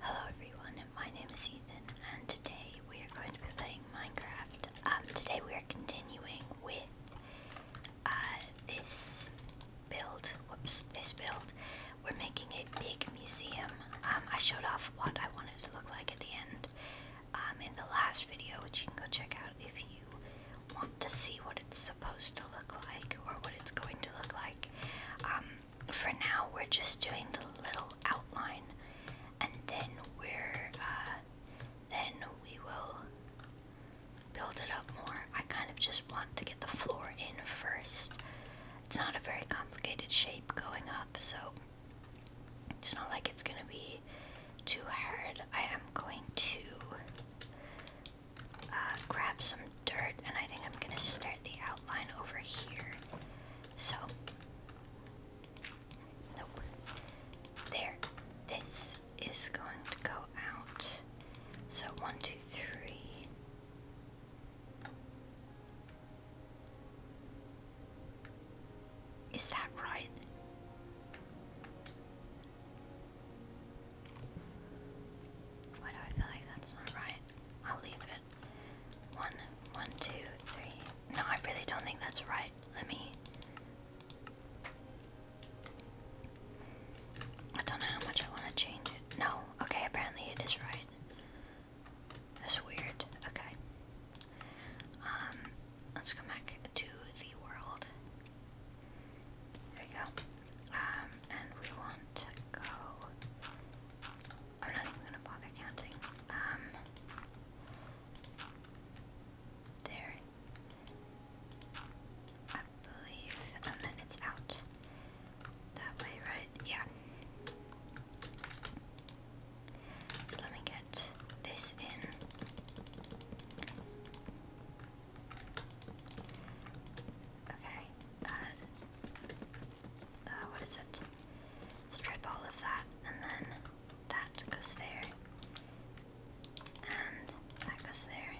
Hello everyone, my name is Ethan and today we are going to be playing Minecraft. Um, today we are continuing with uh, this build, whoops, this build. We're making a big museum. Um, I showed off what I wanted it to look like at the end um, in the last video, which you can go check out if you want to see what it's supposed to look like or what it's going to look like for now we're just doing the little outline and then we're uh, then we will build it up more. I kind of just want to get the floor in first. It's not a very complicated shape going up, so it's not like it's gonna be too hard. I am going to uh, grab some dirt and I think I'm gonna start the outline over here. So There. This is going to go out. So one, two, three. Is that right? Why do I feel like that's not right? I'll leave it. One, one, two, three. No, I really don't think that's right. Let me. I don't know how much I want to change it. No, okay, apparently it is right. That's weird. Okay. Um, let's go back to the world. There we go. Um, and we want to go I'm not even gonna bother counting. Um, there, I believe, and then it's out that way, right? Yeah. let me get this in. Okay. uh, what is it? strip all of that, and then that goes there, and that goes there.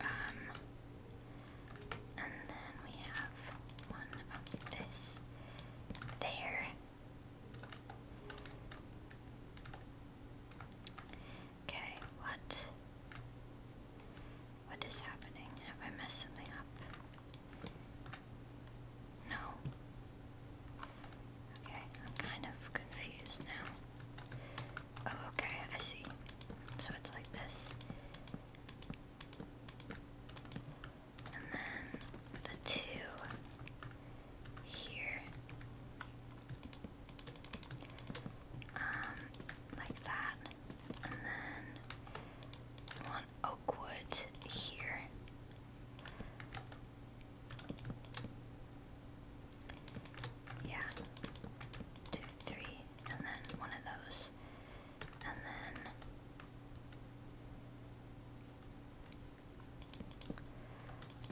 Um, and then we have one of this there. Okay, what? What is happening? Have I messed something up? No. Okay, I'm kind of confused now. Oh, okay, I see. So it's like this. And then the two here. Um, like that and then I want oak wood here. Yeah, two, three, and then one of those, and then.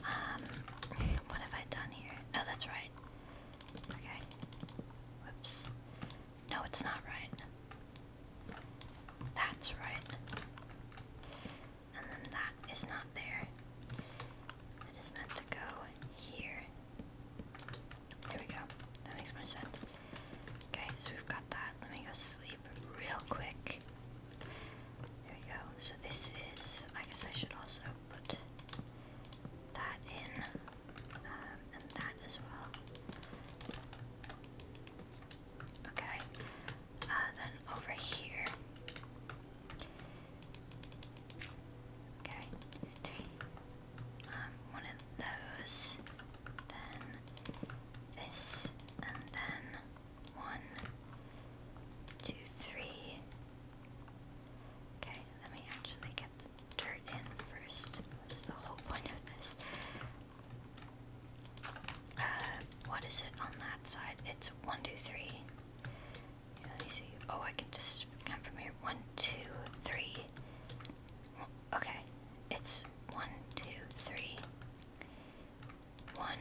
Um, what have I done here? No, oh, that's right. Okay. Whoops. No, it's not right. That's right. And then that is not there. It is meant to go here. There we go. That makes more sense. Okay, so we've got that. Let me go sleep real quick. There we go. So this is. I guess I should also put that in um, and that as well. Okay, uh, then over here. Okay, um, one of those, then this, and then one, two, three. Okay, let me actually get dirt in first. That's the whole point of this. Uh, what is it on that side? It's one, two, three. let me see. Oh, I can just come from here. One, two, three. Okay, it's one, two, three. One.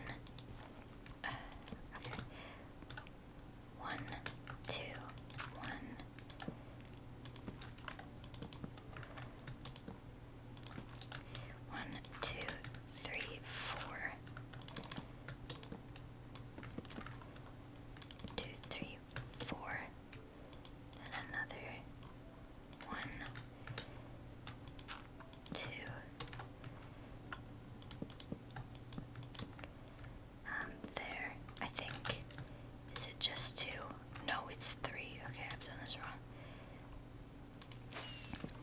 Uh, one, two, one, one, two, three, four. Two, three, four. Then another one, two, um, there. I think. Is it just two? No, it's three. Okay, I've done this wrong.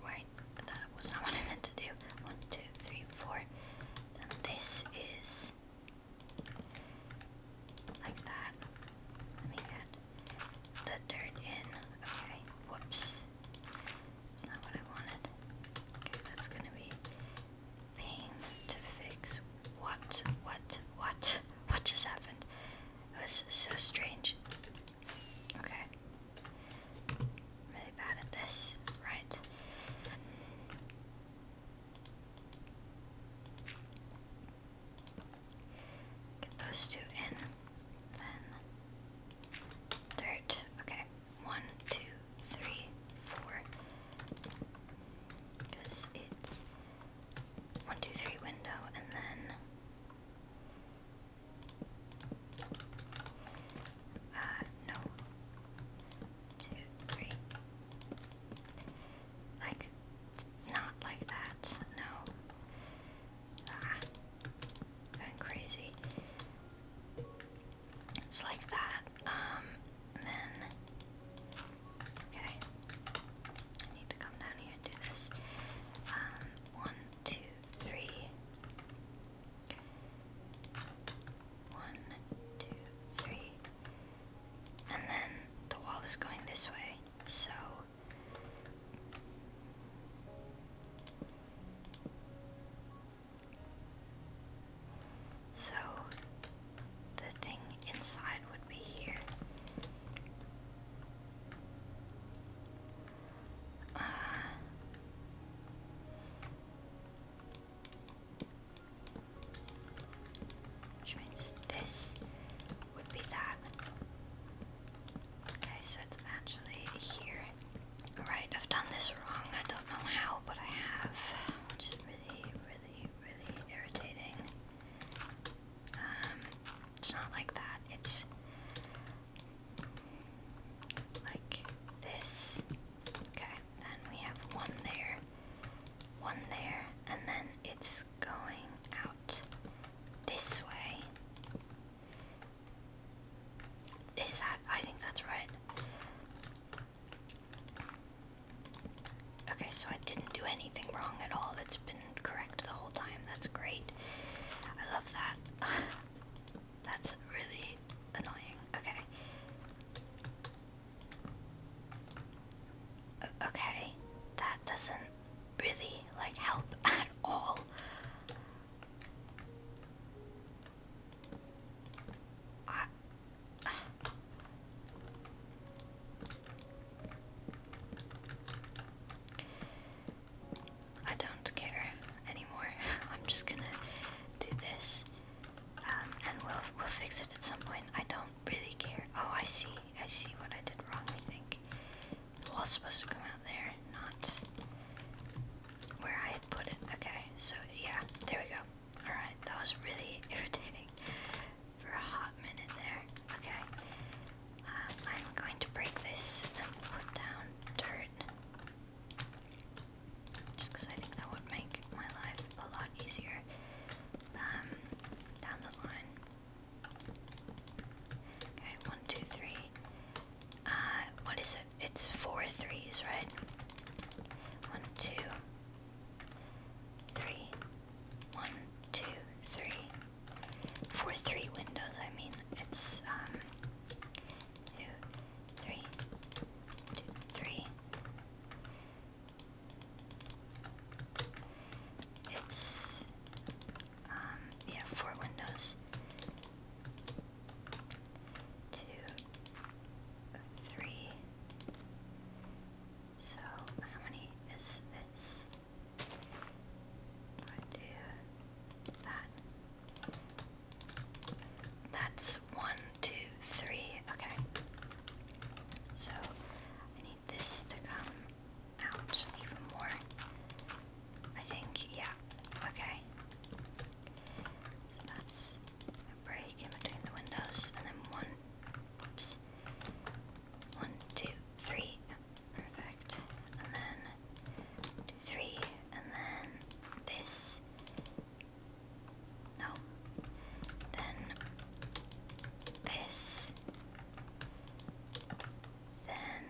Right, that was not what I meant to do. One, two, three, four. Then this is like that. Let me get the dirt in. Okay, whoops. That's not what I wanted. Okay, that's gonna be pain to fix. What? What? What? What just happened? This is so strange. Okay. really bad at this. Right. Get those two in. Then dirt. Okay. One, two, three, four. Because it's one, two, three window, and then uh, no, two, three, like not like that. No, ah, going crazy. It's like that. Um, then, okay, I need to come down here and do this. Um, one, two, three. One, two, three. And then the wall is going this way, so. So, the thing inside would be here. Uh, which means this would be that. Okay, so it's actually here. Alright, I've done this wrong. I don't know how, but I have. Which is really, really, really irritating. Um, it's not like that. It's like this. Okay, then we have one there, one there, and then it's going out this way. Is that? I think that's right. Okay, so I didn't do anything wrong at all. That's been correct the whole time. That's great. I love that. That's really annoying. Okay. okay, that doesn't really like help at all. I I don't care anymore. I'm just gonna do this, um, and we'll we'll fix it at some point. I don't really care. Oh, I see. I see what I did wrong. I think it was supposed to come out there, not where I put it. Okay, so yeah, there we go. All right, that was really irritating for a hot minute there. Okay. Uh, I'm going to break this and put down dirt. Just I think that would make my life a lot easier um, down the line. Okay, one, two, three. Uh, what is it? It's four threes, right? One, two, three, one, two, three, three windows. I mean, it's um, two, three, two, three. It's um, yeah, four windows. Two, three, so, how many is this? I do that. That's one, two, three. Okay. So, I need this to come out even more. I think, yeah. Okay. So that's a break in between the windows, and then one Oops. One, two, three. Perfect. And then three, and then this. No. Then this. Then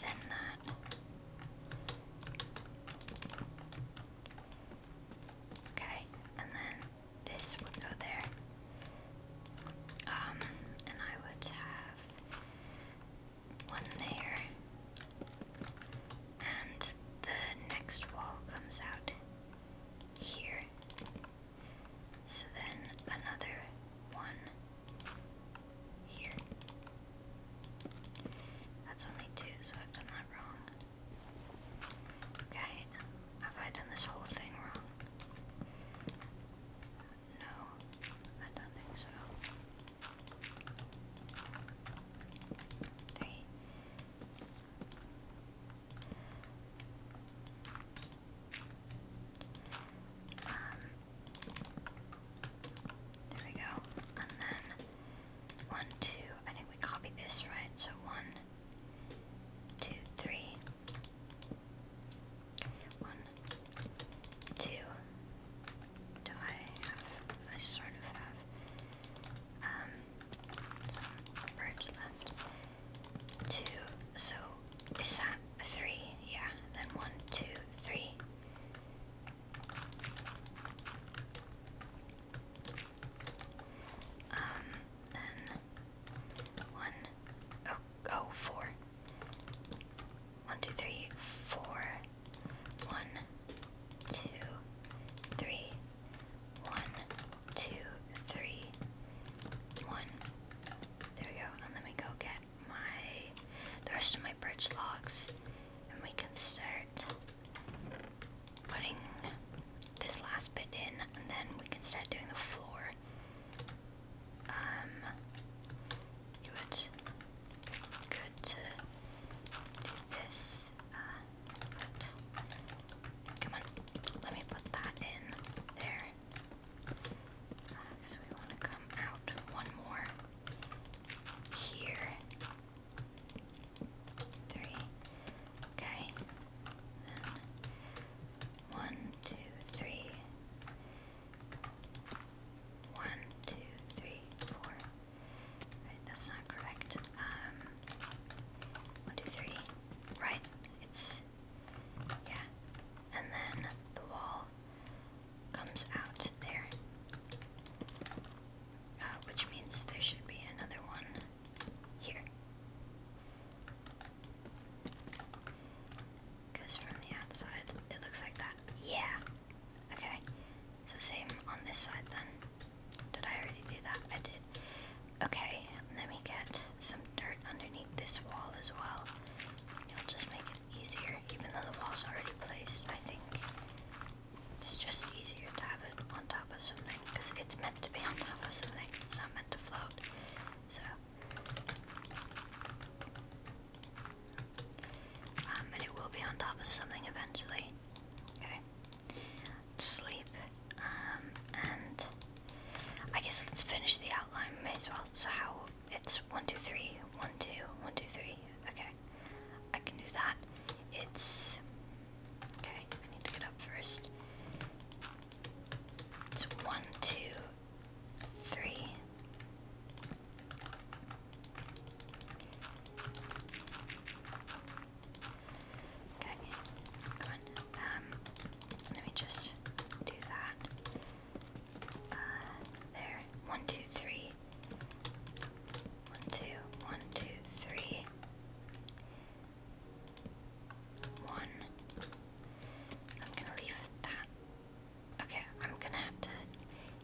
then that. Okay, and then this would go there. Um, and I would have one there. And the next wall comes out here. So then another one here. That's only two, so I've done that wrong. Okay, have I done this whole thing wrong? No, I don't think so. Three. Um, there we go, and then one, two, I think we copied this, right? So one, two, three. One, two. Do I have, I sort of have, um, some birds left. Two, so is that three? Yeah, then one, two, three. Um, then one, oh, oh, four. One, two, three, four. One, two, three. One, two, three. One. There we go. And let me go get my the rest of my birch logs, and we can start putting this last bit in, and then we can start doing the floor. Um, good to do this. Uh, come on, let me put that in there. Uh, so we want to come out one more here three. Okay. one, two, three. One, two, three, four. Right, that's not correct. Um one, two, three. Right. It's yeah. And then the wall comes out there. Uh, which means there should be another one here. Because from the outside, it looks like that. Yeah! Okay, so same on this side then. Did I already do that? I did. Okay, let me get some dirt underneath this wall as well. It'll just make it easier, even though the wall's already placed, I think. It's just easier to have it on top of something because it's meant to be on top of something. It's not meant to float. So, um, and it will be on top of something eventually. Okay, sleep. Um, and I guess let's finish the outline. May as well. So how? It's one, two, three, one, two, one, two, three. Okay, I can do that. It's Okay, I need to get up first. It's one, two, three. Okay, go on. Um, let me just do that. Uh, there. One, two, three. One, two, one, two, three. One. I'm gonna leave that. Okay, I'm gonna have to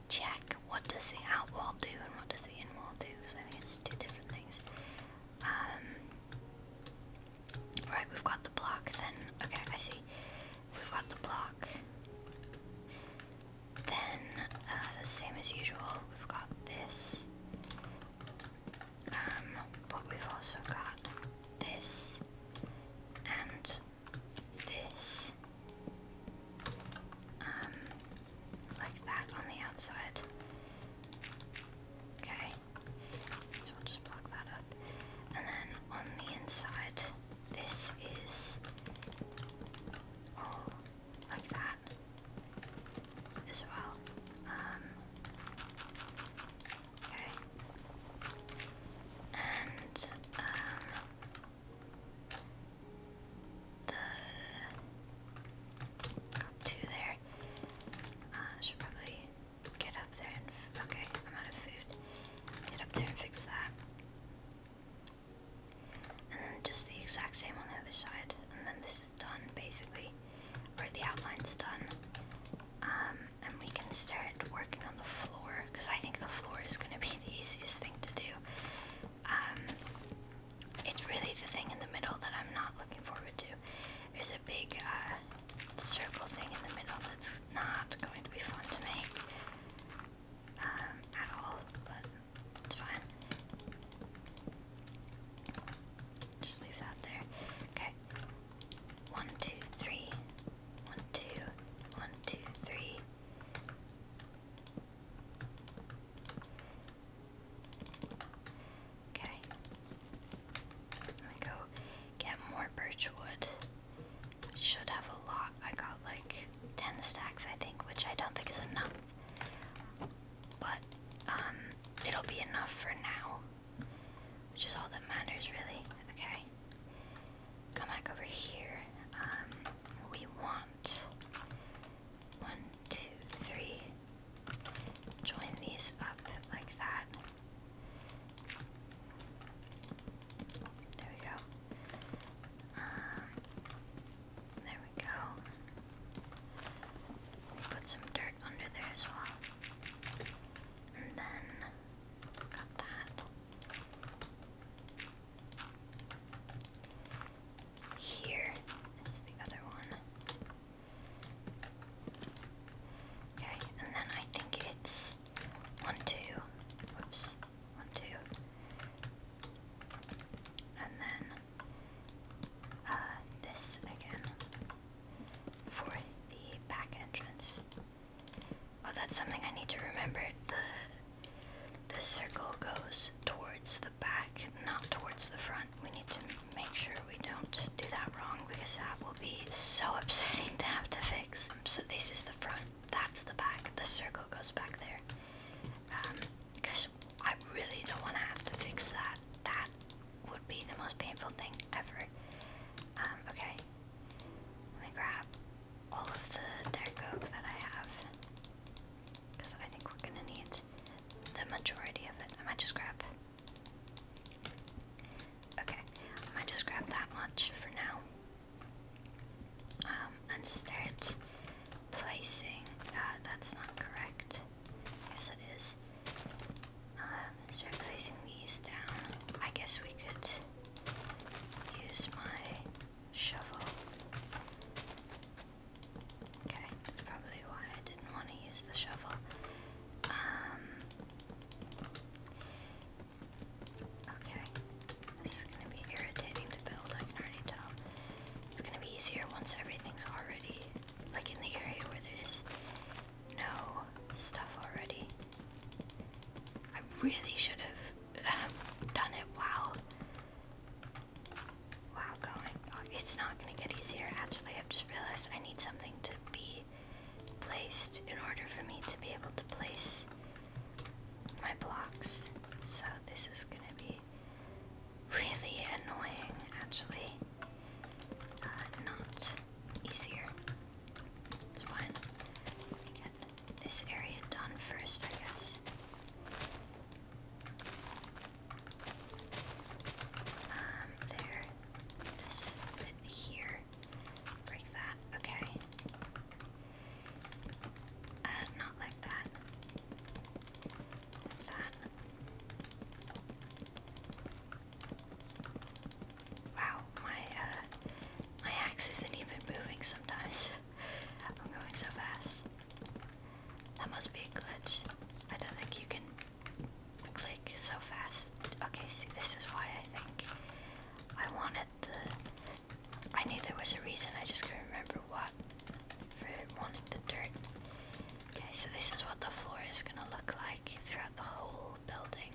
check what does the out wall do and what does the in wall do because I think it's two different things. Um, right, we've got the block. Then okay, I see. We've got the block. Then, uh, same as usual, we've got this. Um, but we've also got this and this, um, like that on the outside. Okay, so we'll just block that up. And then on the inside, this is all like that as well. Um, okay. And um, the two there. Uh, should probably get up there and okay, I'm out of food. Get up there and fix that. And then just the exact same on the other side. And then this done basically, or the outline's done, um, and we can start working on the floor because I think the floor is going to be the easiest thing to do. Um, it's really the thing in the middle that I'm not looking forward to. There's a big uh, circle thing in the middle that's not going to be fun to make um, at all, but it's fine. Just leave that there. Okay. One, two, three. One, two. One, two, three. Okay. Let me go get more birchwood. Should have a lot. I got like 10 stacks, I think, which I don't think is enough but um, it'll be enough for now, which is all that matters, really. Okay, come back over here. Um, we want one, two, three. Join these up like that. There we go. Um, there go. put some dirt under there as well. And then got that. Here is the other one. Okay, and then I think it's one, two. Whoops. One, two. And then uh, this again for the back entrance. Oh, that's something I need to remember. The the circle goes towards the back, not towards the front. We need to make sure we don't do that wrong because that will be so upsetting to have to fix. Um, so this is the front, that's the back. The circle goes back there. Um, because I really don't want to have to fix that. That would be the most painful thing ever. Um, okay. Let me grab all of the deco that I have. Because I think we're gonna need the majority of it. I might just grab Okay, I might just grab that much for now. Um, and start placing uh, that's not correct. Yes, it is. Um, start placing these down. I guess we could use my shovel. Okay, that's probably why I didn't want to use the shovel. Um, okay, this is gonna be irritating to build, I can already tell. It's gonna be easier once everything's already like in the area where there's no stuff already. I really should have um, done it while while going. Uh, it's not gonna get easier. Actually, I've just realized I need something to be placed in order for me to be able to place my blocks. So this is gonna be really annoying, actually. Uh, not easier. It's fine. Let get this area done first, I guess. Um, there. This bit here. Break that. Okay. Uh, not like that. Wow, my uh, my axe isn't even moving sometimes. I'm going so fast. That must be a glitch. I don't think you can click so fast. Okay, see, this is why I think I wanted the. I knew there was a reason. I just couldn't remember what for wanting the dirt. Okay, so this is what the floor is gonna look like throughout the whole building.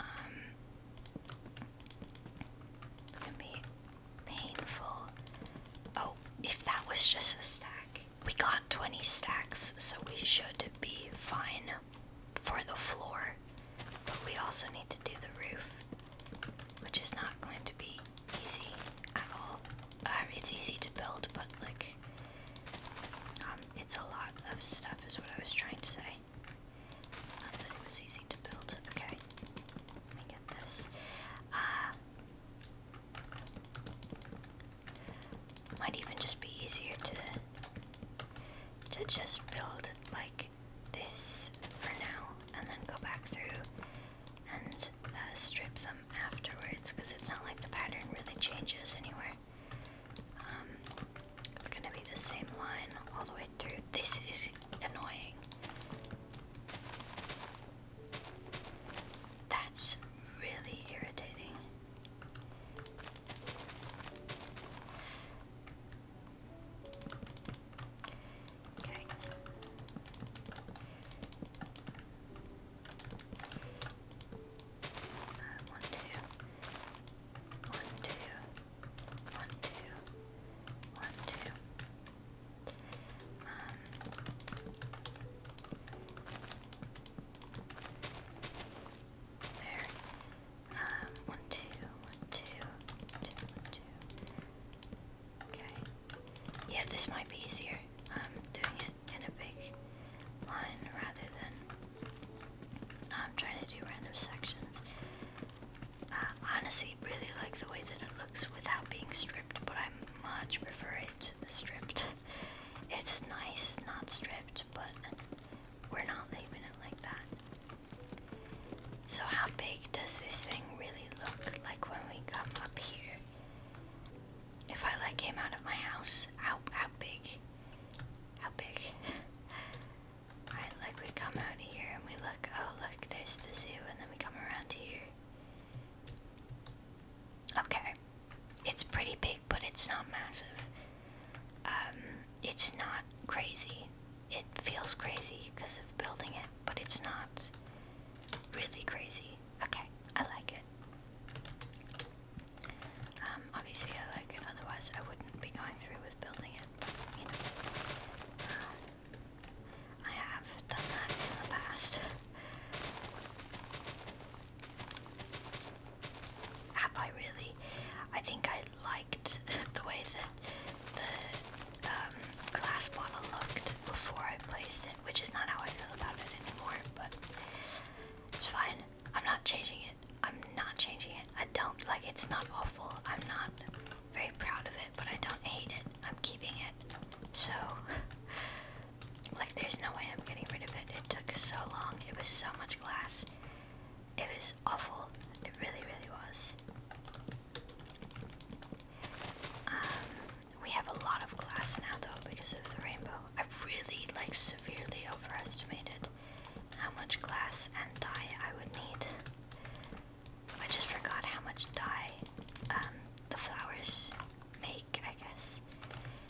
Um, gonna be painful. Oh, if that was just a stack, we got 20 stacks, so we should be fine for the floor. But we also need to do the roof, which is not going to be easy at all. Uh, it's easy to build, but like um, it's a lot of stuff, is what I was trying to say. Um, was easy to build. Okay, let me get this. Uh, might even just be easier to to just build like this for now, and then go back through and uh, strip them afterwards because it's not like the pattern really changes anywhere. Um, it's gonna be the same line all the way through. This is annoying. That's really irritating. Okay. Uh, there. Um, Okay. Yeah, this might be easier. I'm um, doing it in a big line rather than um, trying to do random sections. Uh, honestly, really like the way that it looks without being stripped, but I much prefer it stripped. It's nice, not stripped, but we're not leaving it like that. So how big does this thing really look like when we come up here? If I like came out of my house, how how big? How big? Alright, like we come out here and we look, oh look, there's the zoo, and then we come around here. Okay. It's pretty big, but it's not massive. Um, it's not crazy. It feels crazy because of building it, but it's not really crazy. Okay. I like it. Um, obviously I like it, otherwise I wouldn't be going through with building it, you know. Um, I have done that in the past. Have I really? I think I liked the way that the um, glass bottle looked before I placed which is not how I feel about it anymore, but it's fine. I'm not changing it. I'm not changing it. I don't like it's not awful. I'm not very proud of it, but I don't hate it. I'm keeping it. So like there's no way I'm getting rid of it. It took so long. It was so much glass. It was awful. It really, really was. Um we have a lot of glass now, though, because of the rainbow. I really, like, severely overestimated how much glass and dye I would need. I just forgot how much dye um, the flowers make, I guess.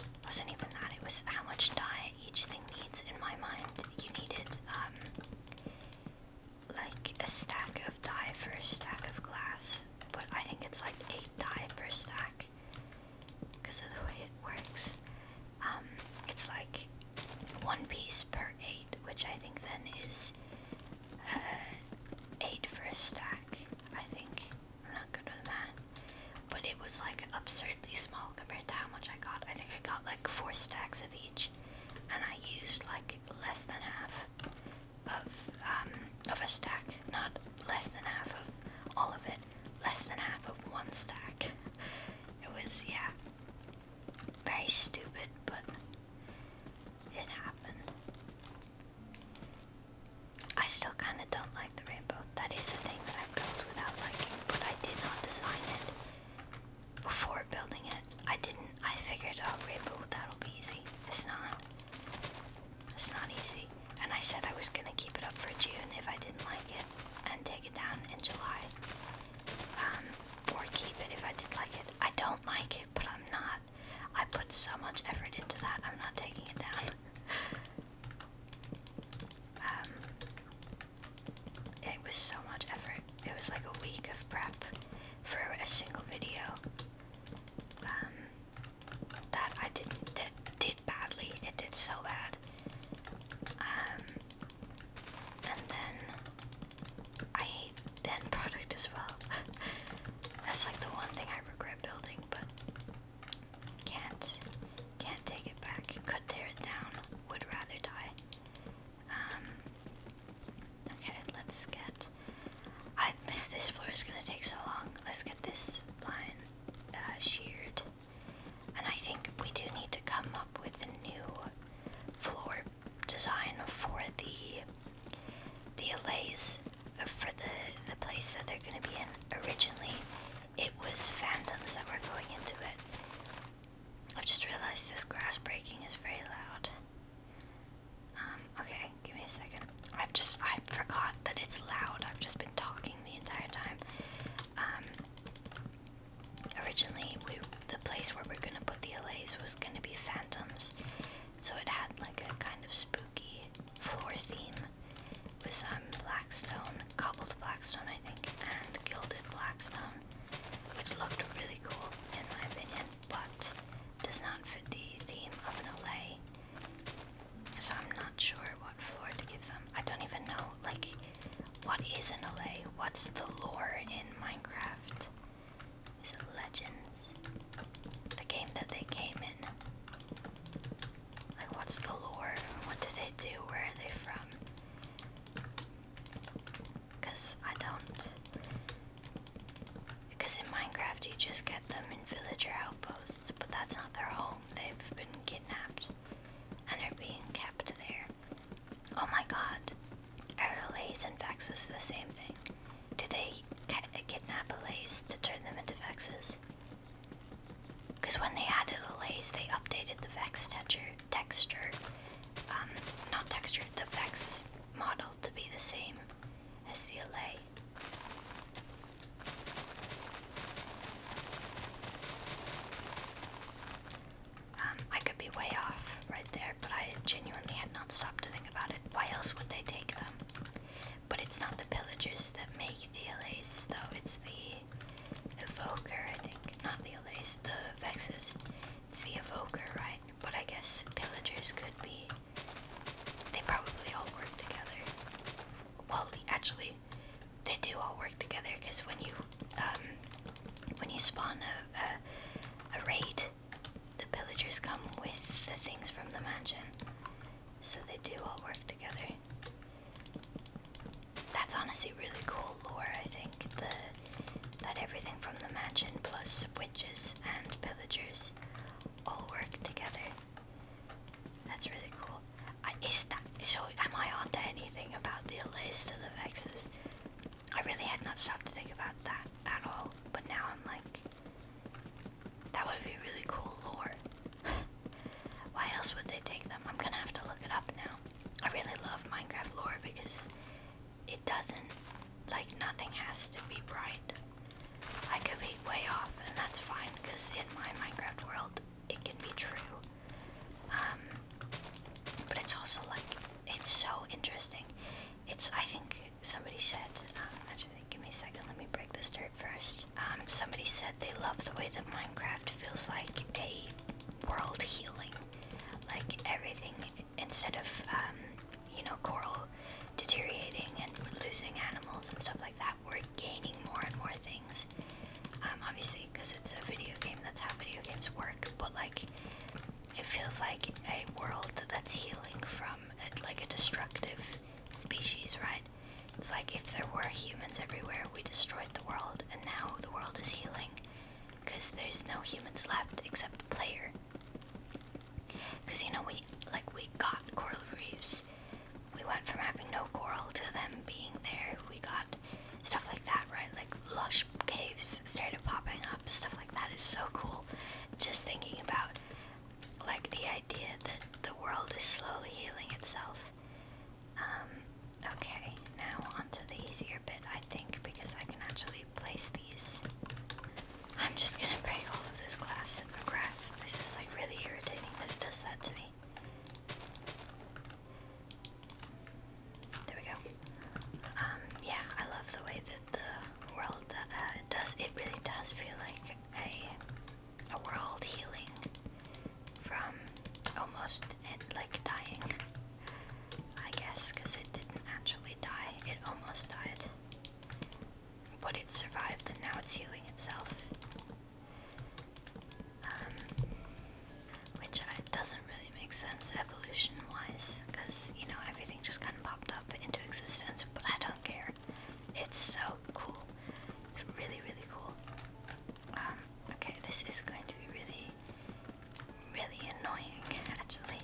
It wasn't even that, it was how much dye each thing needs. In my mind, you needed, um, like, a stack of dye for a stack of glass, but I think it's like 8 dye per stack because of the way it works. Um, it's like one piece per eight, which I think then is uh, eight for a stack. I think I'm not good with math, but it was like absurdly small compared to how much I got. I think I got like four stacks of each, and I used like less than half of um, of a stack, not less than half of all of it less than half of one stack. It was, yeah, very stupid, but it happened. I still kind of don't like the rainbow. That is a thing that I built without liking, but I did not design it before building it. I didn't. I figured, out oh, rainbow, that'll be easy. It's not. It's not easy, and I said I was gonna keep it up for June if I didn't like it, and take it down in July. Um, or keep it if I did like it. I don't like it, but I'm not. I put so much effort into that, I'm not taking it down. Um, it was so much effort. It was like a week of prep for a single video. Um, that I didn't did, badly. It did so bad. Um, and then I hate end product as well. That's like the one thing I regret building, but can't can't take it back. Could tear it down. Would rather die. Um, okay, let's get. I this floor is gonna take so long. Let's get this line uh, sheared. And I think we do need to come up with a new floor design for the the allays uh, for the the place that they're going to be in. Originally, it was phantoms that were going into it. I've just realized this grass breaking is very loud. Um, okay, give me a second. I've just I forgot that it's loud. I've just been talking the entire time. Um, originally, we the place where we're gonna put the LAs was gonna be Phantoms, so it had like a kind of spooky floor theme with some black stone, cobbled black stone I think, and gilded black stone, which looked really cool in my opinion, but does not fit the theme of an LA. So I'm not sure what floor to give them. I don't even know, like, what is in LA? What's the lore in Minecraft? Is it Legends? The game that they came in? Like, what's the lore? What do they do? Where are they from? Because I don't. Because in Minecraft you just get them in villager outposts, but that's not their home. They've been kidnapped and are being kept there. Oh my god. Are lays and vexes the same thing? Do they kidnap a lays to turn them into vexes? Because when they added the lays, they updated the vex texture, texture um, not texture, the vex model to be the same as the LA. Um, I could be way off right there, but I genuinely had not stopped to think about it. Why else would they take them? But it's not the pillagers that make the LAs, though. It's the evoker, I think. Not the LAs, the vexes. the evoker, right? But I guess pillagers could be. They probably all work together. Well, actually, they do all work together because when you um, when you spawn a, a, a raid, the pillagers come with the things from the mansion, so they do all work together. That's honestly really cool lore. I think the that everything from the mansion plus witches and pillagers all work together. That's really cool is that, so am I onto anything about the list of the Vexes? I really had not stopped to think about that at all, but now I'm like, that would be really cool lore. Why else would they take them? I'm gonna have to look it up now. I really love Minecraft lore because it doesn't, like, nothing has to be bright. I could be way off, and that's fine because in my Minecraft world, it can be true. Um, but it's also like it's so interesting. It's I think somebody said um, actually give me a second. Let me break this dirt first. Um, somebody said they love the way that Minecraft feels like a world healing, like everything instead of you know coral deteriorating and losing animals and stuff like that. We're gaining more and more things. Um, obviously, because it's a video game, that's how video games work. But like, it feels like a world that's healing from uh, like a destructive species, right? It's like if there were humans everywhere, we destroyed the world, and now the world is healing because there's no humans left except player. Because you know we like we got coral reefs we went from having no coral to them being there. We got stuff like that, right? Like lush caves started popping up, stuff like that is so cool. Just thinking about like the idea that the world is slowly healing itself. Um, okay, now onto the easier bit, I think, because I can actually place these. I'm just gonna break all of this glass and grass. This is like really irritating that it does that to me. There we go. Um, yeah, I love the way that the world uh, does. It really does feel like a a world healing from almost eh, like dying. I guess because it didn't actually die. It almost died, but it survived, and now it's healing itself. Um, which doesn't really make sense evolution-wise, because, you know, everything just kind of popped up into existence, but I don't care. It's so cool. It's really, really cool. Um, okay, this is going to be really, really annoying, actually.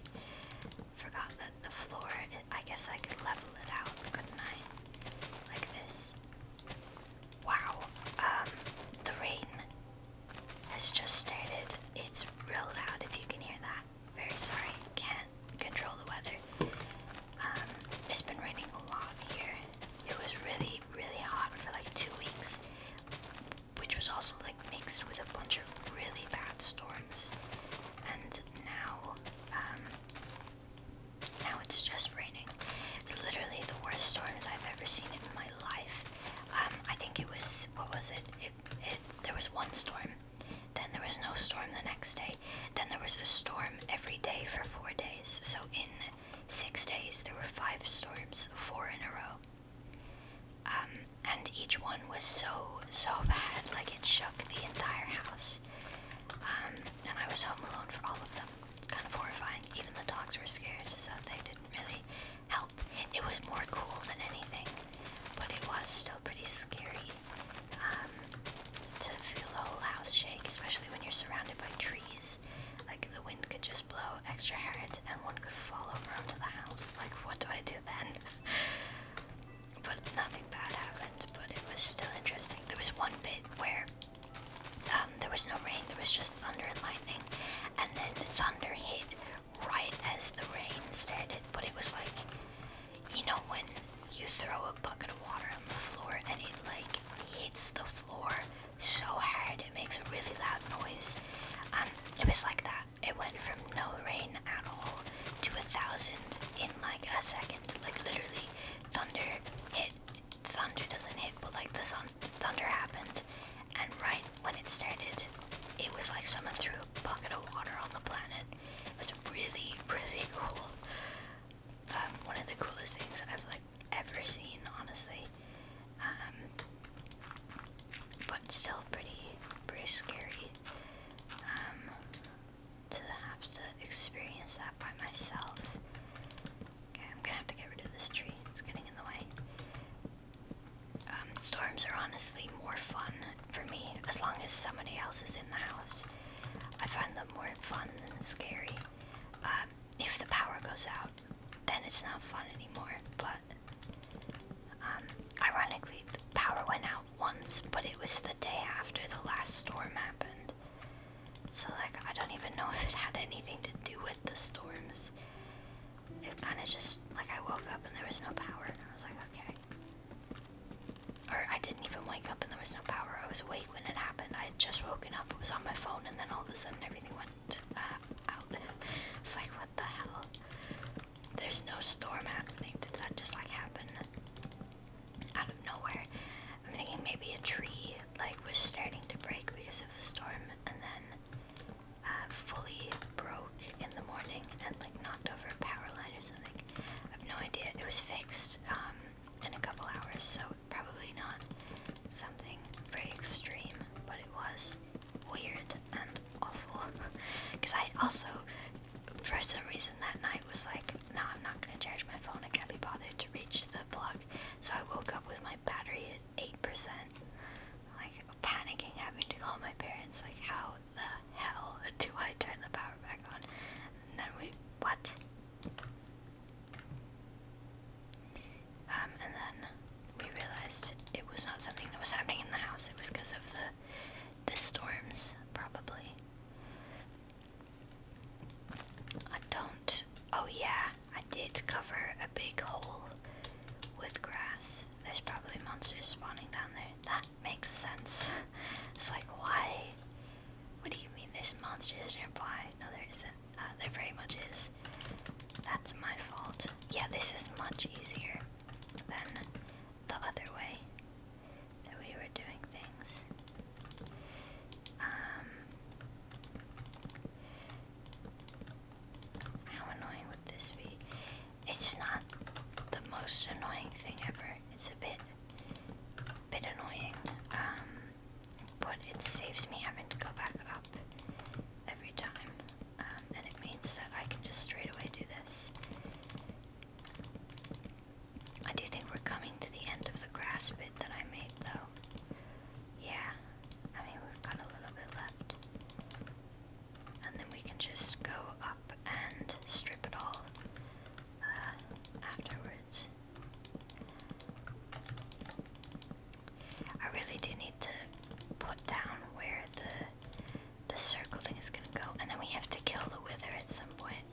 Forgot that the floor, I guess I could level it out, couldn't I? Like this. Wow, um, the rain has just started. It's real loud if you can hear that. Very sorry, can't control the weather. Um, it's been raining a lot here. It was really, really hot for like two weeks, which was also like mixed with a bunch of really bad storms. And now, um, now it's just raining. It's literally the worst storms I've ever seen in my life. Um, I think it was what was it? It, it? There was one storm, then there was no storm the next day, then there was a storm every day for four days. So in six days there were five storms, four in a row. Um, and each one was so so bad, like it shook the entire house. Um, and I was home alone for all of them. It's kind of horrifying. Even the dogs were scared, so they didn't really help. It was more cool than anything, but it was still pretty scary um, to feel the whole house shake, especially when you're surrounded by trees. Like the wind could just blow extra hard, and one could fall over onto the house. Like, what do I do then? but nothing bad happened. But it was still interesting. There was one bit where um, there was no rain, there was just thunder and lightning, and then the thunder hit right as the rain started, but it was like, you know when you throw a bucket of water on the floor and it like hits the floor so hard it makes a really loud noise, um, it was like that. It went from no rain at all to a thousand in like a second, like literally thunder hit it, thunder doesn't hit, but like the sun, thunder happened, and right when it started, it was like someone threw a bucket of water on the planet. It was really, really cool. Um, one of the coolest things I've like ever seen, honestly. Um, but still pretty, pretty scary. Um, to have to experience that by myself. Okay, I'm gonna have to get rid of this tree. It's getting in the way. Um, storms are honestly more fun for me as long as somebody else is in the house. I find them more fun than scary. Um, if the power goes out, then it's not fun anymore. But um, ironically, the power went out once, but it was the day after the last storm happened. So, like, I don't even know if it had anything to do with the storms. It kind of just, like, I woke up and there was no power, and I was like, okay. Or I didn't even wake up and there was no power. I was awake when it happened. I had just woken up, it was on my phone, and then all of a sudden everything went uh, out. it's like, what the hell? There's no storm happening. Did that just, like, happen out of nowhere? I'm thinking maybe a tree like was starting to break because of the storm and then uh, fully broke in the morning and like knocked over a power line or something. I have no idea. It was fixed um, in a couple hours, so probably not something very extreme, but it was weird and awful. Because I also, for some reason that night, was like, no, I'm not going to charge my phone. I can't be bothered to reach the blog so I woke up with my battery at 8%. Like panicking, having to call my parents, like how the hell do I turn the power back on? then we, what? Um, and then we realized it was not something that was happening in the house. It was because of the the storms, probably. I don't. Oh, yeah, I did cover a big hole with grass. There's probably monsters spawning down there. That makes sense. it's like, why? What do you mean there's monsters nearby? No, there isn't. Uh, there very much is. That's my fault. Yeah, this is much easier than the other way that we were doing things. Um, how annoying would this be? It's not the most annoying thing ever. It's a bit, bit annoying. Um, but it saves me having to go back up every time, um, and it means that I can just straight away do this. I do think we're coming to the end of the grass bit that I made, though. Yeah, I mean, we've got a little bit left. And then we can just go up and strip it all uh, afterwards. I really do need to put down where the the circle thing is gonna go, and then we have to kill the wither at some point.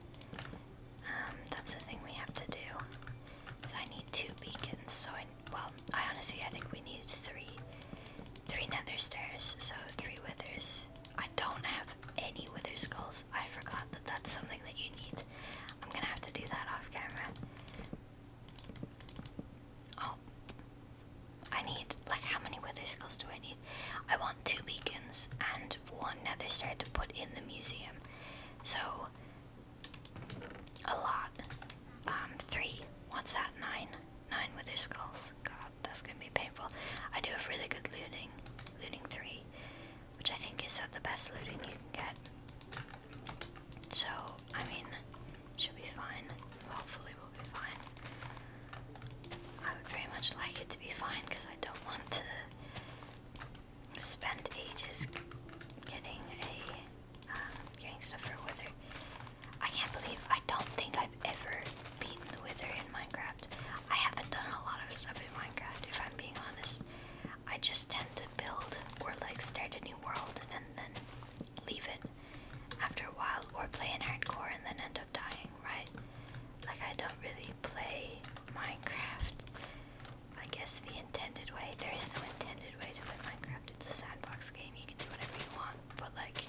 Um, that's the thing we have to do. I need two beacons. So I well, I honestly I think we need three, three nether stairs. So three withers. I don't have any wither skulls. I forgot that that's something that you need. I'm gonna have to do that off camera. Oh, I need like how many wither skulls do I need? I want two beacons and one nether stair to put in the museum. So a lot. Um, three. What's that? Nine. Nine wither skulls. God, that's gonna be painful. I do have really good looting. Looting three. Which I think is at the best looting you can get. So, I mean, should be fine. Hopefully we'll be fine. I would very much like it to be fine because I don't want to spend ages getting a um, getting stuff for Wither. I can't believe I don't think I've ever beaten the Wither in Minecraft. I haven't done a lot of stuff in Minecraft, if I'm being honest. I just tend to build or like start a new world and then leave it after a while, or play in hardcore and then end up dying, right? Like I don't really play Minecraft I guess the intended way. There is no intended way to play Minecraft. It's a sandbox game. You can do whatever you want. But like,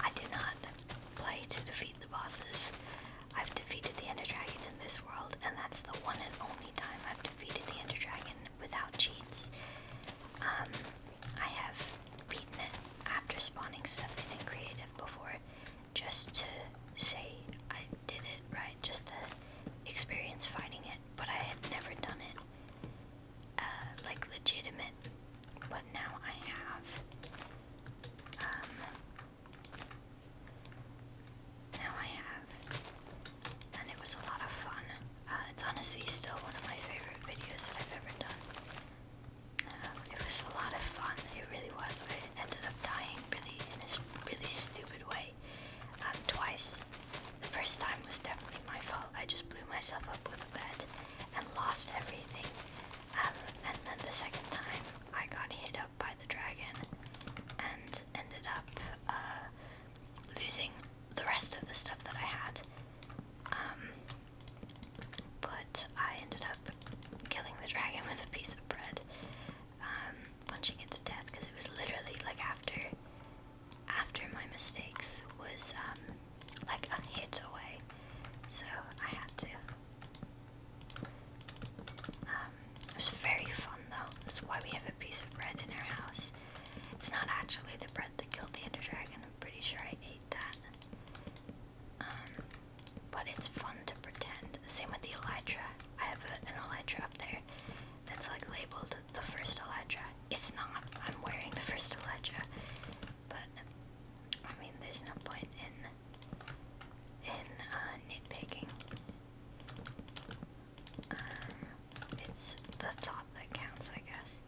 I did not play to defeat the bosses. I've defeated the Ender Dragon in this world, and that's the one and only time I've defeated the Ender Dragon without cheats. Um, I have beaten it after spawning stuff in creative before, just to say I did it, right? Just to experience fighting it, but I had never done it, uh, like legitimate. But now I have. Um, now I have, and it was a lot of fun. Uh, it's honestly still one of my favorite videos that I've ever done. Um, it was a lot of fun. It really was. it ended up dying really in this really stupid way, twice. The first time was definitely my fault. I just blew myself up with a bat and lost everything. Um, and then the second time, I got hit up by the dragon and ended up uh, losing the rest of the stuff that I had. Um, but I ended up killing the dragon with a piece of bread. Um, punching it to death because it was literally like after after my mistakes was um, like a hit away, so I had to. Um, it was very fun though. That's why we have a piece of bread in our house. It's not actually the bread that killed the Ender Dragon. I'm pretty sure I ate that. Um, but it's fun to pretend. Same with the Elytra. I have an Elytra up there, that's like labeled the first Electra. It's not. I'm wearing the first Electra, but I mean, there's no point in in uh, nitpicking. Um, it's the thought that counts, I guess.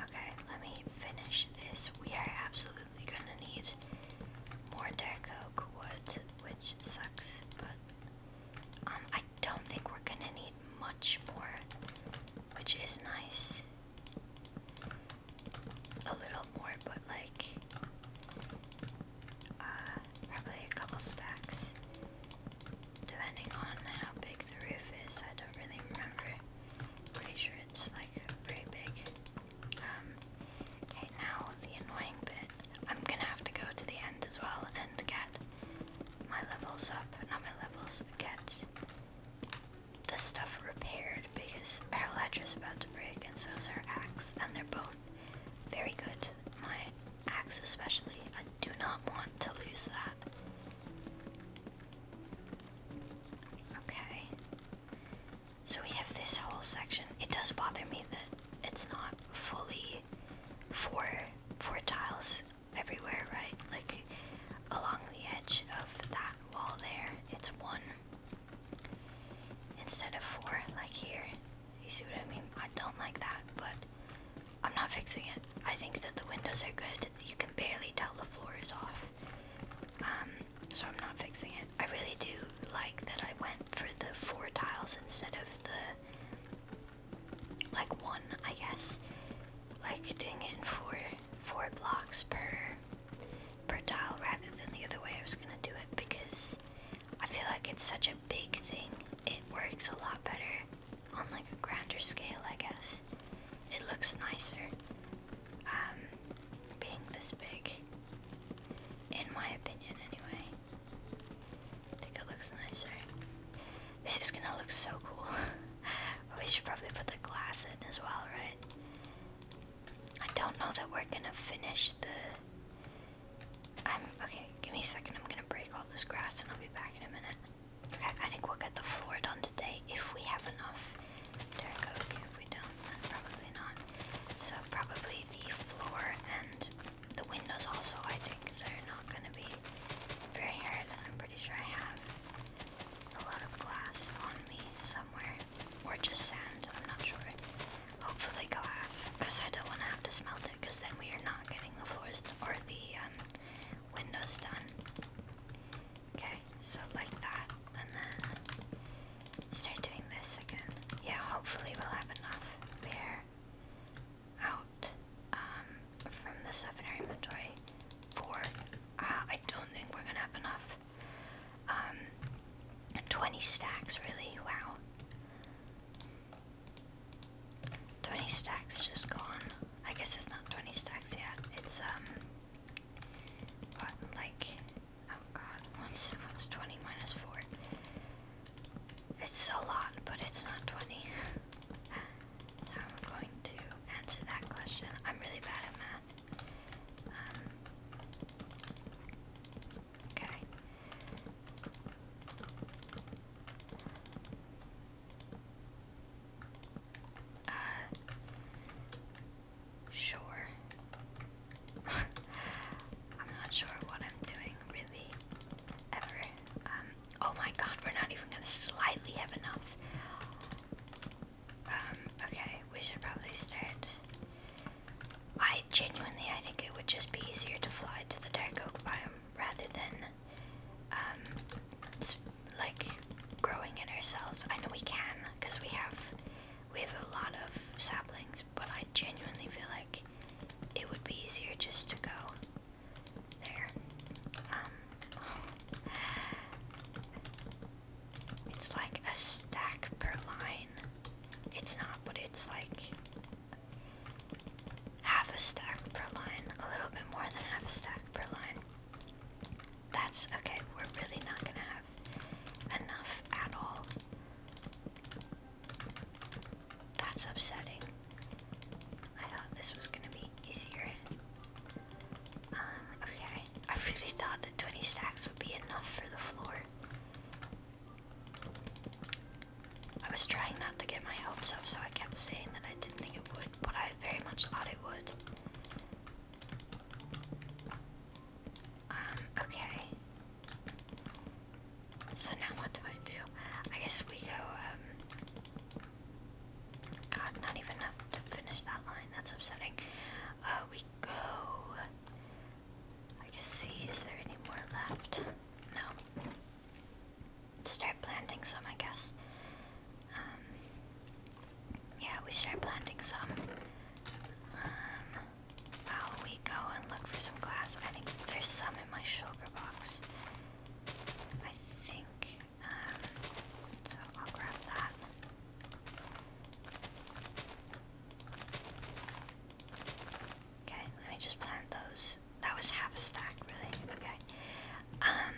Okay, let me finish this. We are you're gonna need more dark oak wood, which sucks, but um, I don't think we're gonna need much more, which is nice. A little more, but like, uh, probably a couple stacks. Depending on how big the roof is, I don't really remember. Pretty sure it's like pretty big. Um, okay, now the annoying bit. I'm gonna have to go to the end as well and get my levels up, not my levels, get the stuff repaired because our is about to break and so is our axe, and they're both very good. My axe, especially, I do not want to lose that. Okay. So we have this whole section. It does bother me that it's not fully four four tiles everywhere, right? Like along the edge of that wall there, it's one instead of four, like here. You see what I mean? I don't like that, but I'm not fixing it. I think that the windows are good. You can barely tell the floor is off. Um, so I'm not fixing it. I really do like that I went for the four tiles instead of the like one, I guess. Like doing it in four four blocks per per tile rather than the other way I was gonna do it because I feel like it's such a big thing. It works a lot better on like a grander scale, I guess. It looks nicer um, being this big, in my opinion, anyway. I think it looks nicer. This is gonna look so cool. we should probably put the glass in as well, right? I don't know that we're gonna finish the. I'm okay. Give me a second. I'm gonna break all this grass, and I'll be back in a minute. Okay, I think we'll get the floor done today if we have enough dark oak if we don't, probably not. So probably the floor and the windows also, I think, they're not going to be very hard. I'm pretty sure I have a lot of glass on me somewhere. Or just sand, I'm not sure. Hopefully glass, because I don't want to have to smelt it, because then we are not getting the floors or the um, windows done. Okay, so like that, and then start doing this again. Yeah, hopefully we'll have enough there out um, from the stuff inventory for, uh, I don't think we're gonna have enough. Um, 20 stacks, really, wow. 20 stacks just gone. I guess it's not 20 stacks yet. It's, um, what, like Oh god, what's, what's 20 minus 4? It's a lot, but it's not 20. so I'm going to answer that question. I'm really bad at math. Um, okay. Uh, Sure. I'm not sure what I'm doing really ever. Um, oh my god, we're not even gonna slightly have enough. Um, okay, we should probably start. I genuinely I think it would just be easier to fly to the dark oak biome rather than um like growing it ourselves. I know we can because we have we have a lot of saplings, but I genuinely feel like it would be easier just to go there. Um, it's like a stack per line. It's not, but it's like half a stack per line. A little bit more than half a stack per line. That's okay, we're really not gonna have enough at all. That's upsetting. I thought this was gonna be easier. Um, okay. I really thought that 20 stacks would be enough for the floor. I was trying not to get my hopes up, so I kept saying that I didn't think it would, but I very much thought it would. Um, okay. So now what do I do? I guess we go, um, God, not even enough to finish that line. That's upsetting. Uh, we go... I guess see, is there any more left? No. Start planting some, I guess. Um, yeah, we start planting some. While we go and look for some glass, I think there's some in my sugar box. I think, um, so I'll grab that. Okay, let me just plant those. That was half a stack, really. Okay. Um,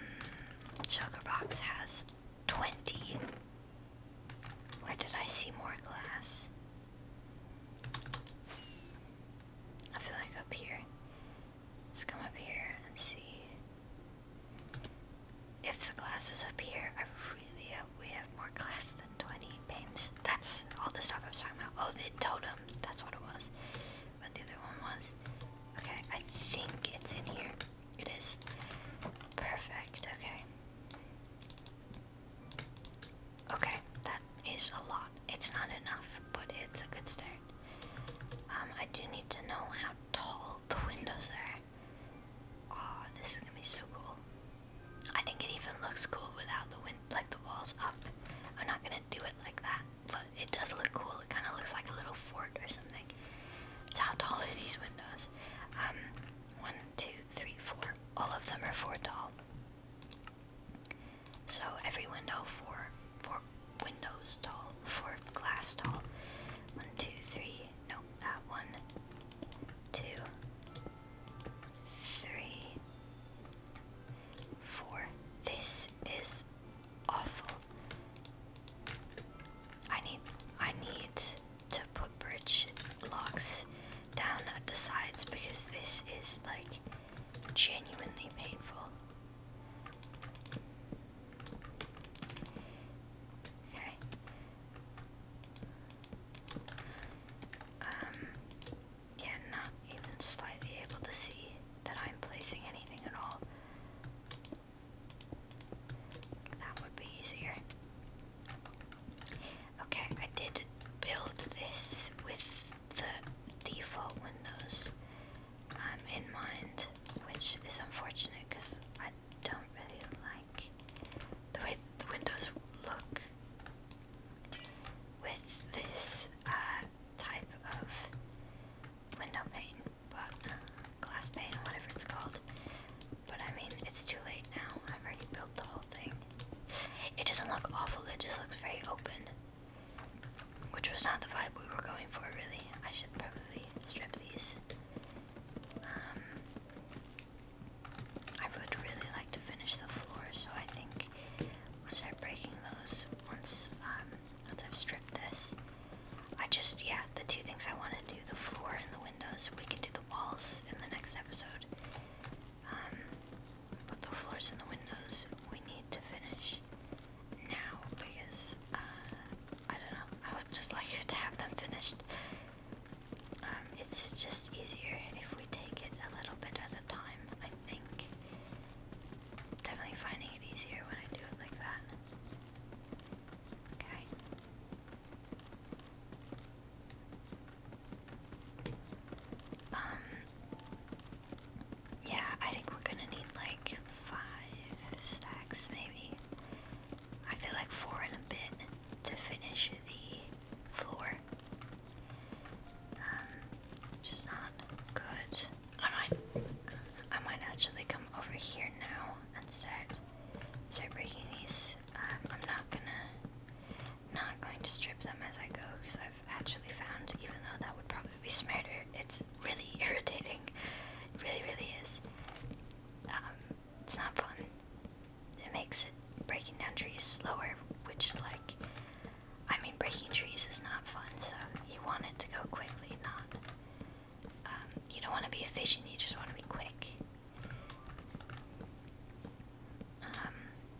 sugar box has 20 where did I see more glass? I feel like up here. Let's come up here and see. If the glass is up here, I really hope we have more glass than 20 panes. That's all the stuff I was talking about. Oh, the totem. That's what it was. But the other one was. Okay, I think it's in here. It is. Perfect, okay. Okay, that is a lot. It's not enough, but it's a good start. Um, I do need to know how tall the windows are. Oh, this is gonna be so cool. I think it even looks cool without the wind, like the walls up. I'm not gonna do it like that, but it does look cool. It kind of looks like a little fort or something. how tall are these windows? Um, one, two, two, three, four. All of them are four tall. So every window four, four windows tall, four glass tall. One, two, three. No, that one, two, three, four. This is awful. I need, I need to put bridge locks down at the sides because this is like genuinely painful. Okay. Um, yeah, not even slightly able to see that I'm placing anything at all. That would be easier. Okay, I did build this with the default windows um, in mind, which is unfortunate because I don't really like the way the windows look with this uh, type of window pane, but uh, glass pane, whatever it's called. But I mean, it's too late now. I've already built the whole thing. It doesn't look awful, it just looks very open. Which was not the vibe we were going for, really. I should probably strip these. Um, I would really like to finish the floor, so I think we'll start breaking those once, um, once I've stripped this. I just, yeah, the two things I want to do, the floor and the windows, we can do the walls in the next episode. Um, the floors and the windows we need to finish now because uh, I don't know. I would just like to have them finished. Um, it's just easier if we take it a little bit at a time. I think. Definitely finding it easier when I do it like that. Okay. Um, yeah, I think we're gonna need like five stacks maybe. I feel like four in a bit to finish the floor. Um, which is not good. I might, I might actually come over here now and start, start breaking these. Um, I'm not gonna, not going to strip them as I go because I've actually found, even though that would probably be smarter, it's really irritating. It really, really is. Um, it's not fun. It makes it breaking down trees slower, which, like, I mean, breaking trees is not fun, so you want it to go quickly, not. Um, you don't want to be efficient, you just want to be quick. Um,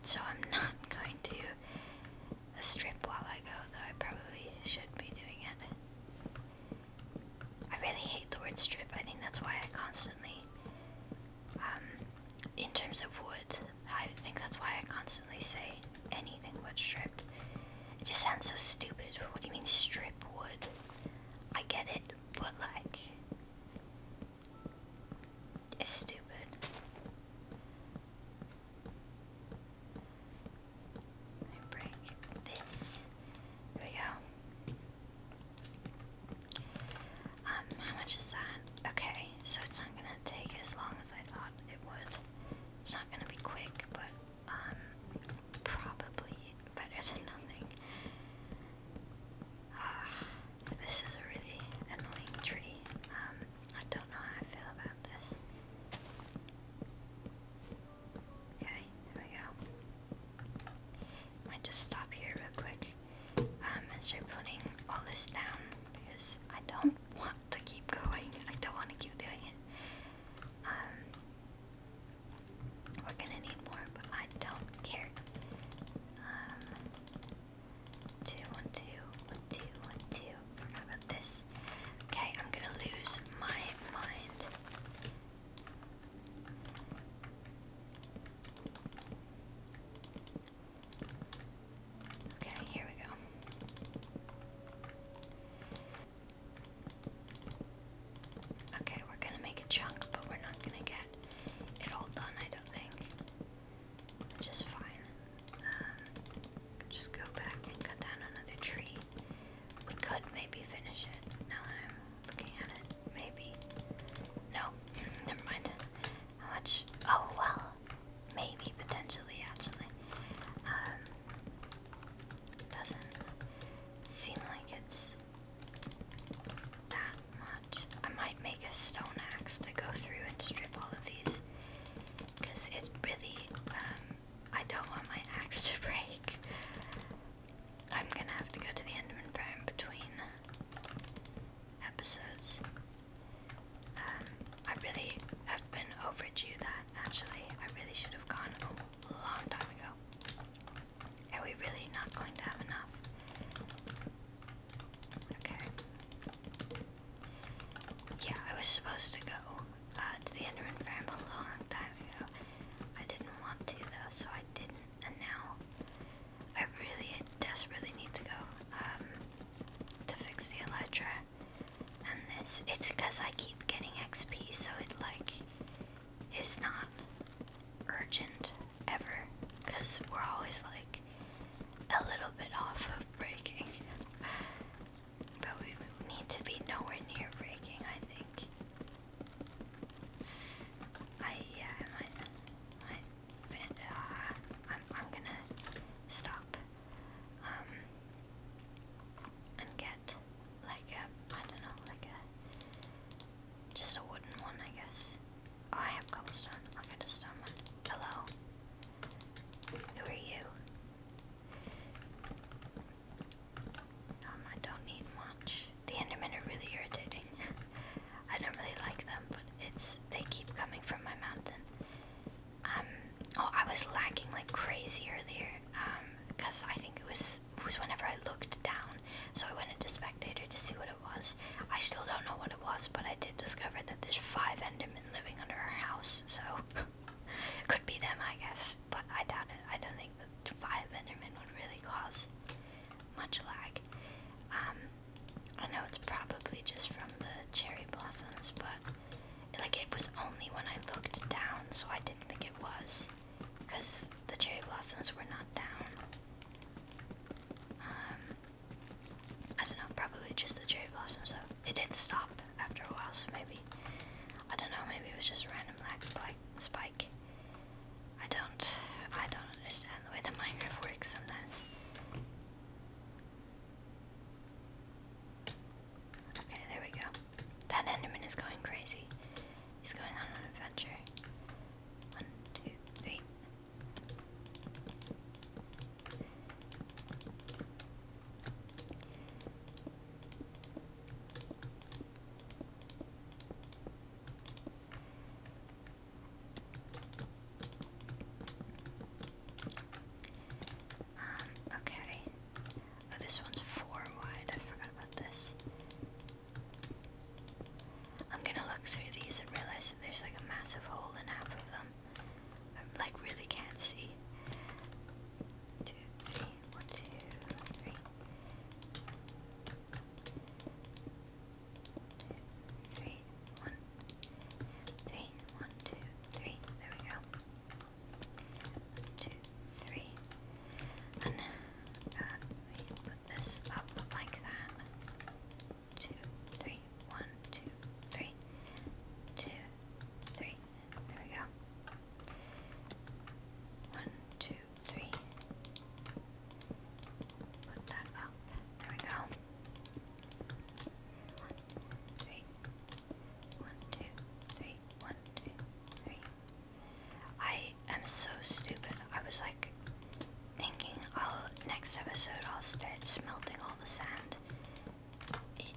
so I'm not going to strip while I go, though I probably should be doing it. I really hate the word strip. I think that's why I constantly, um, in terms of wood, I think that's why I constantly say anything but stripped. It just sounds so stupid. What do you mean strip wood? I get it, but like, it's stupid. I break this. There we go. Um, how much is that? Okay, so it's not gonna take as long as I thought it would. It's not gonna be quick, but um, probably better than nothing. this is a really annoying tree. Um, I don't know how I feel about this. Okay, there we go. Might just stop here real quick um, and start putting all this down because I don't want to keep going. I don't want to keep doing it. Um, we're gonna need more, but I don't care. Um, two, one, two, one, two, one, two. Forgot this. Okay, I'm gonna lose my mind. Okay, here we go. Okay, we're gonna make a chunk, but we're not gonna get it all done, I don't think just fine. Um, just go back and cut down another tree. We could maybe finish it now that I'm looking at it. Maybe. No, never mind. How much? Oh, well, maybe, potentially, actually. Um, doesn't seem like it's that much. I might make a stone axe to go through and strip all of these because it really, um, I don't want my axe to break. I'm gonna have to go to the Enderman Prime between episodes. Um, I really have been overdue that actually. I really should have gone a long time ago. Are we really not going to have enough? Okay. Yeah, I was supposed to go uh, to the Enderman farm a long time ago. I didn't want to though, so I didn't. And now I really desperately need to go um, to fix the Elytra. And this, it's because I keep getting XP, so it like is not urgent ever because we're always like a little bit off of breaking. but we need to be nowhere near breaking, I think. I yeah, I might uh, I'm I'm gonna stop. Um and get like a I don't know, like a just a wooden one I guess. Oh, I have cobblestone. I'll get a stone Hello. Who are you? Um, I don't need much. The Endermen are really irritating. I don't really like them, but it's they keep coming from my mountain. Um, oh, I was lagging like crazy earlier. Um, because I think it was was whenever I looked down, so I went into to see what it was. I still don't know what it was, but I did discover that there's five Endermen living under our house, so it could be them, I guess. But I doubt it. I don't think that five Endermen would really cause much lag. Um, I know it's probably just from the cherry blossoms, but like it was only when I looked down, so I didn't think it was, because the cherry blossoms were not down. Um, I don't know, probably just the cherry blossoms though. It did stop after a while, so maybe. I don't know, maybe it was just random lag spike. spike. I don't, I don't understand the way the Minecraft works sometimes. Okay, there we go. That Enderman is going crazy. He's going on an adventure. One, two, three. Um, okay. Oh, this one's four wide. I forgot about this. I'm gonna look through these and realize that there's like a massive hole in half of them. I am like really can't see. Two, three, one, two, three. Two, There we go. One, two, three. And uh, we put this up like that two, three, one, two, three, two, three. There we go. One, two, three. Put that up. There we go. two, three. One, two, three. I am so stupid. I was like, Thinking I'll oh, next episode I'll start smelting all the sand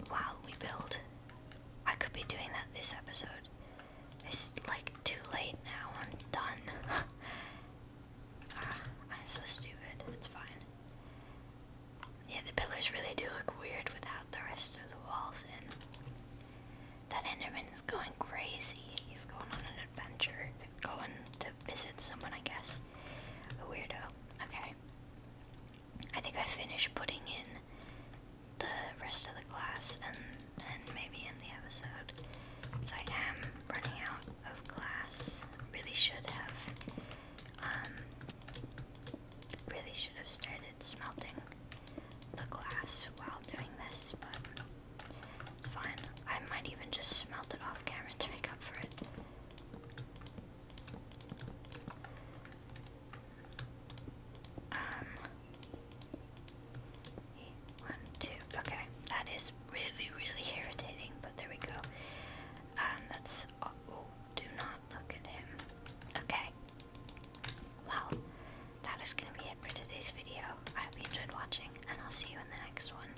while we build. I could be doing that this episode. It's like too late now. I'm done. Ah, I'm so stupid. It's fine. Yeah, the pillars really do look weird without the rest of the walls in. That Enderman is going crazy. He's going on an adventure going to visit someone, I guess. A weirdo. Okay. I think I finished putting in the rest of the class and then maybe in the episode. So I am running out of class. Really should have um really should have started smelting the glass while doing this, but it's fine. I might even just smelt it off camera to make up for it. Um, one, two. Okay, that is really, really irritating. But there we go. Um, that's. Oh, do not look at him. Okay. Well, that is gonna be it for today's video. I hope you enjoyed watching, and I'll see you in the next one.